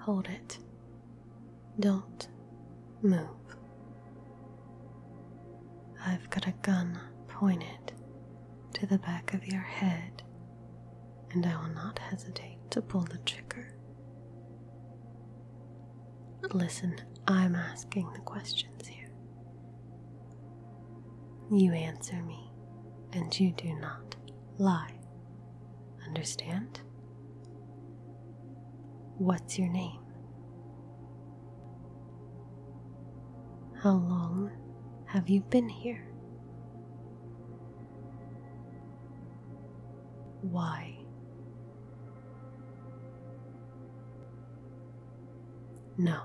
Hold it. Don't move. I've got a gun pointed to the back of your head, and I will not hesitate to pull the trigger. Listen, I'm asking the questions here. You answer me, and you do not lie. Understand? What's your name? How long have you been here? Why? No,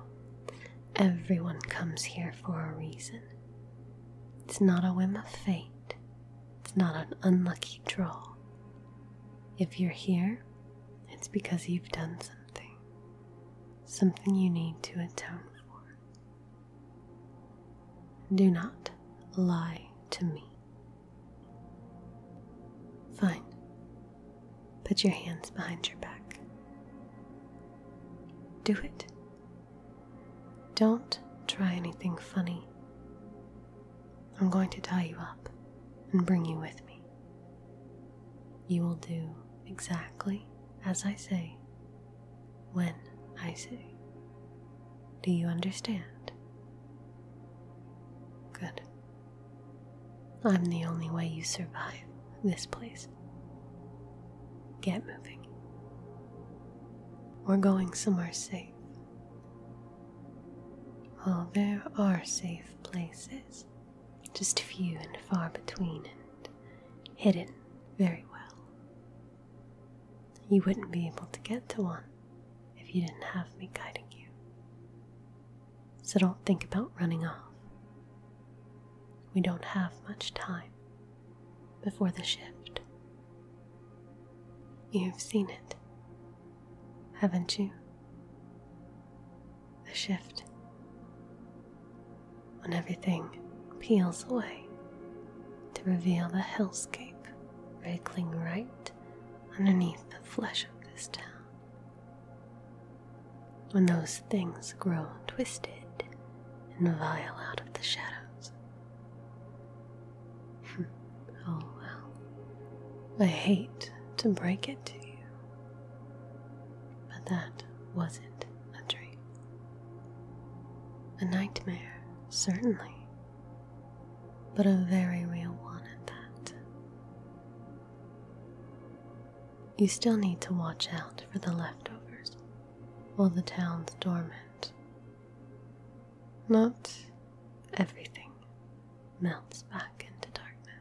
everyone comes here for a reason. It's not a whim of fate. It's not an unlucky draw. If you're here, it's because you've done something. Something you need to atone for. Do not lie to me. Fine. Put your hands behind your back. Do it. Don't try anything funny. I'm going to tie you up and bring you with me. You will do exactly as I say, when I say. Do you understand? Good. I'm the only way you survive this place. Get moving. We're going somewhere safe. Well, there are safe places, just few and far between, and hidden very well. You wouldn't be able to get to one if you didn't have me guiding you. So don't think about running off. We don't have much time before the shift. You've seen it, haven't you? The shift. When everything peels away to reveal the hellscape wriggling right underneath the flesh of this town. When those things grow twisted and vile out of the shadows, oh, well. I hate to break it to you, but that wasn't a dream. A nightmare, certainly, but a very real one at that. You still need to watch out for the leftovers while the town's dormant not everything melts back into darkness.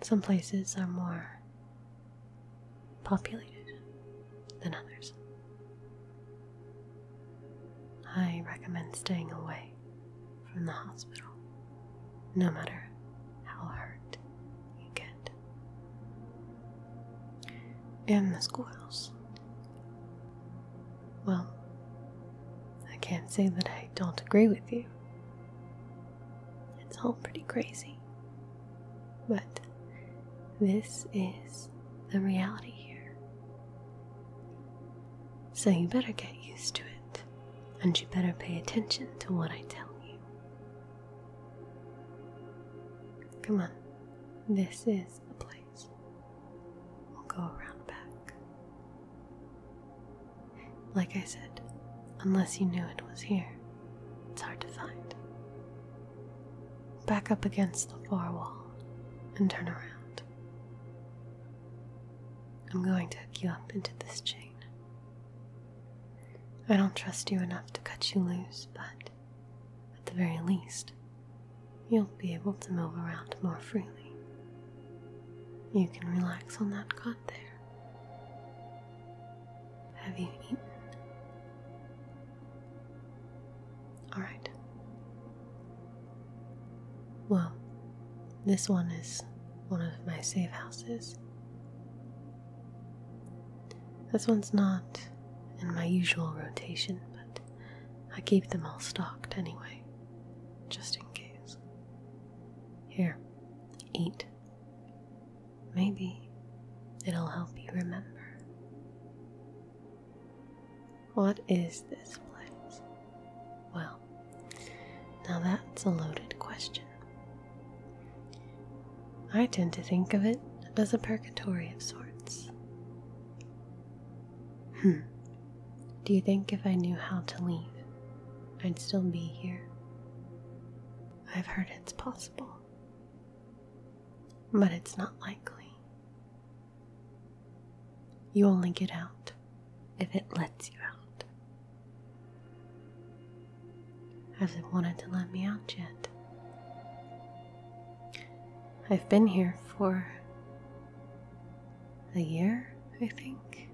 Some places are more populated than others. I recommend staying away from the hospital, no matter how hurt you get. In the schoolhouse. Well, I can't say that I don't agree with you. It's all pretty crazy. But this is the reality here. So you better get used to it, and you better pay attention to what I tell you. Come on, this is the place. We'll go around back. Like I said, unless you knew it was here, it's hard to find. Back up against the far wall and turn around. I'm going to hook you up into this chain. I don't trust you enough to cut you loose, but at the very least, you'll be able to move around more freely. You can relax on that cot there. Have you eaten? Alright. Well, this one is one of my safe houses. This one's not in my usual rotation, but I keep them all stocked anyway, just in case. Here, eat. Maybe it'll help you remember. What is this place? Well, now that's a loaded question. I tend to think of it as a purgatory of sorts. Hmm. Do you think if I knew how to leave, I'd still be here? I've heard it's possible, but it's not likely. You only get out if it lets you out hasn't wanted to let me out yet. I've been here for a year, I think.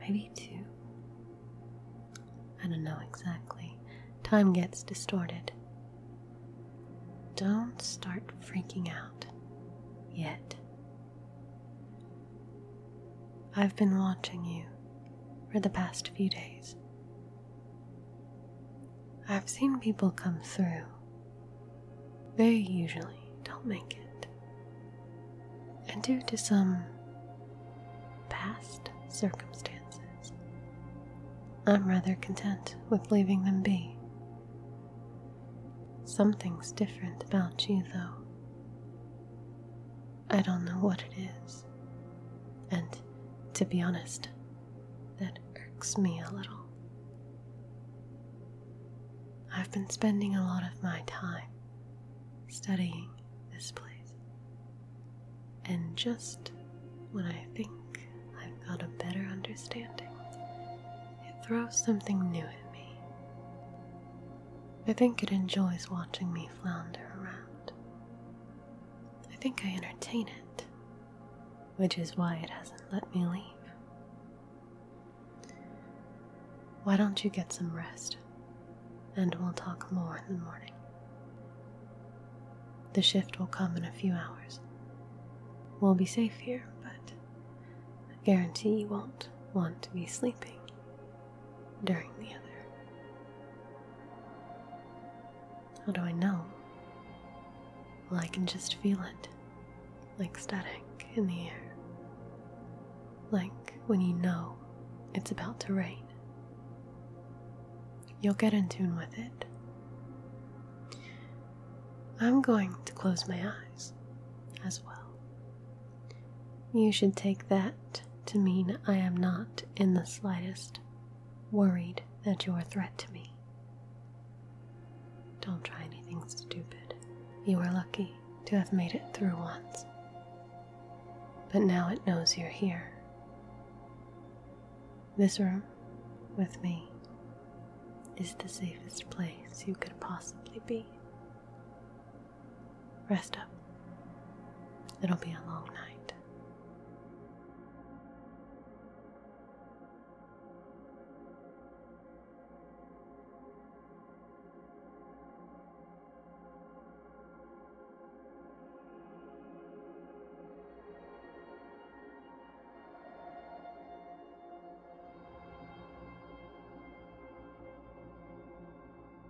Maybe two. I don't know exactly. Time gets distorted. Don't start freaking out yet. I've been watching you for the past few days. I've seen people come through. They usually don't make it. And due to some past circumstances, I'm rather content with leaving them be. Something's different about you, though. I don't know what it is. And to be honest, that irks me a little. I've been spending a lot of my time studying this place. And just when I think I've got a better understanding, it throws something new at me. I think it enjoys watching me flounder around, I think I entertain it, which is why it hasn't let me leave. Why don't you get some rest, and we'll talk more in the morning. The shift will come in a few hours. We'll be safe here, but I guarantee you won't want to be sleeping during the other. How do I know? Well, I can just feel it, like static in the air. Like when you know it's about to rain. You'll get in tune with it. I'm going to close my eyes as well. You should take that to mean I am not in the slightest worried that you're a threat to me. Don't try anything stupid. You are lucky to have made it through once. But now it knows you're here. This room, with me, is the safest place you could possibly be. Rest up. It'll be a long night.